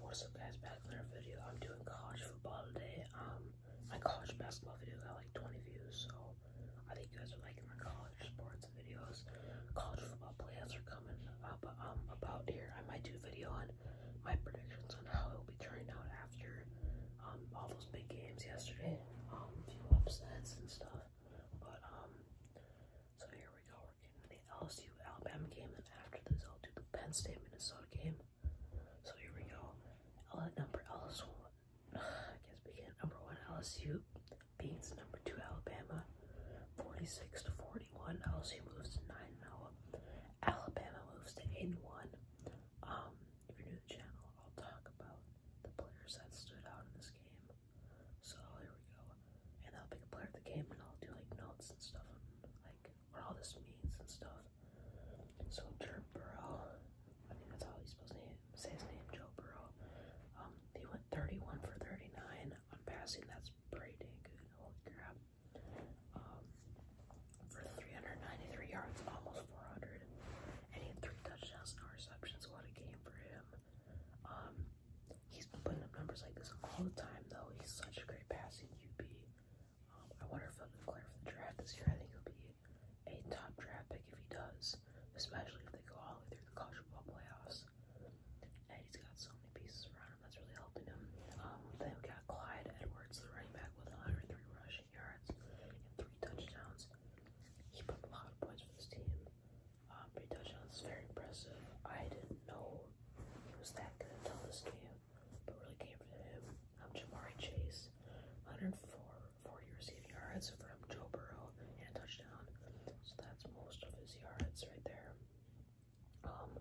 What's up guys, back in our video. I'm doing college football today. Um, my college basketball video got like 20 views, so I think you guys are liking my college sports videos. College football playoffs are coming up um, about here. I might do a video on my predictions on how it will be turning out after um, all those big games yesterday. a few upsets and stuff. But, so here we go. We're getting the LSU Alabama game, and after this, I'll do the Penn State Minnesota game. So here we go. L number LSU. I guess we get number one LSU beats number two Alabama, 46 to 41. LSU moves to nine and oh. Alabama moves to eight one. Um, if you're new to the channel, I'll talk about the players that stood out in this game. So here we go. And I'll be a player of the game and I'll do like notes and stuff on like what all this means and stuff. So Joe Burrow, I think that's how he's supposed to say his name, Joe Burrow. Um, they went 31 for 39 on passing. That's pretty dang good. Holy crap. Um, for 393 yards, almost 400. And he had three touchdowns and no receptions. What a game for him. Um, he's been putting up numbers like this all the time, though. He's such a great passing QB. Um, I wonder if he'll be clear for the draft this year. I think he'll be a top draft pick if he does, especially if they go all the way through the college football playoffs. And he's got so many pieces around him that's really helping him. Um, then we got Clyde Edwards, the running back with 103 rush yards and three touchdowns. He put a lot of points for this team. Uh, three touchdowns is very impressive. I didn't know he was that good until this game, but really came from him. Um, Jamari Chase, 104 40 receiving yards from Joe Burrow and a touchdown. So that's most of his yards right there. Um,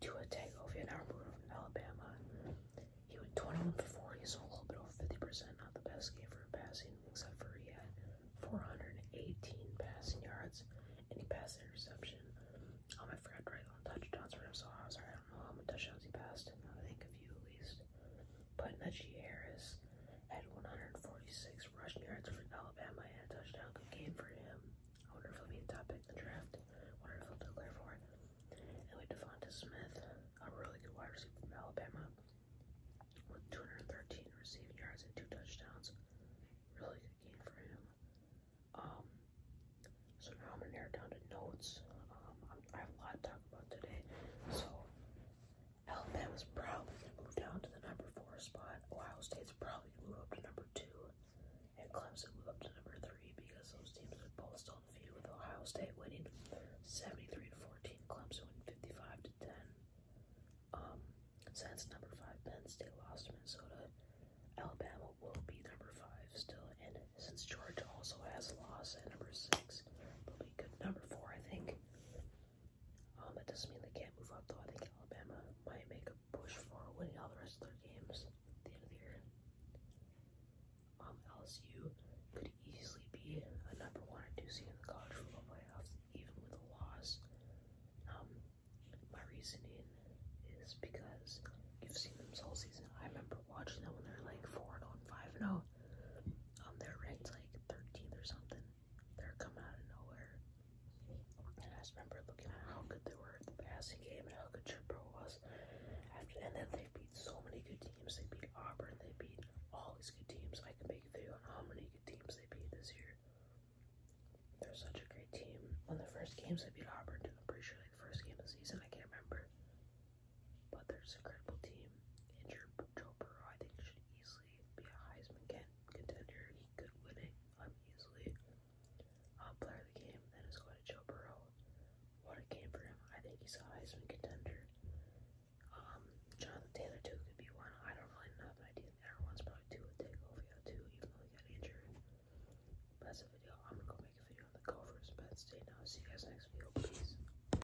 Tua Tagovailoa, now from Alabama, he went 21 for 40, so a little bit over 50%. Not the best game for passing, except for he had 418 passing yards and he passed an interception. Um, I forgot to on touchdowns for him, so sorry. I don't know how many touchdowns he passed. I think a few at least. But Najee Harris had 146 rushing yards for Alabama and a touchdown. Good game for him. I wonder if he'll be a top pick in the draft. wonder if he'll declare for it. And we had Devonta Smith, a really good wide receiver from Alabama, with 213 receiving yards and two touchdowns. Really good game for him. Um, so now I'm gonna narrow down to notes. Um, I'm, I have a lot to talk about today. So Alabama's probably gonna move down to the number four spot. Ohio State's probably gonna move up to number two and Clemson moved up to number three because those teams are both still undefeated with Ohio State winning 73 to 14, Clemson winning 55 to 10. Um, since number five Penn State lost Minnesota, Alabama will be number five still, and since Georgia also has a loss at number six, they'll be good number four, I think. Um, that doesn't mean they can't move up though. I think Alabama might make a push for winning all the rest of their games at the end of the year. Um, LSU could easily be a number one or two seed in the college football playoffs, even with a loss. Um, my reasoning is because you've seen them all season. I remember watching them when they're like four and 5 and 0. Um, they're ranked like 13th or something. They're coming out of nowhere. And I just remember looking at how good they were at the passing game and how good Triple was. After, and then they beat so many good teams. They beat Auburn. They beat all these good teams. I can make a video on how many good teams they beat this year. They're such a great team. One of the first games they beat Auburn, too. I'm pretty sure like the first game of the season. I can't remember. But they're just an incredible team. And Joe Burrow, I think, should easily easily be a Heisman contender. He could win it um, easily. Uh, player of the game, then it's going to Joe Burrow. What a game for him. I think he's a Heisman contender. Um, Jonathan Taylor, too, could be one. I don't really know, but I do think everyone's probably two with Tagovia, too, even though he got injured. But that's the video. I'm going to go make a video on the Gophers, but stay now. See you guys next video. Peace.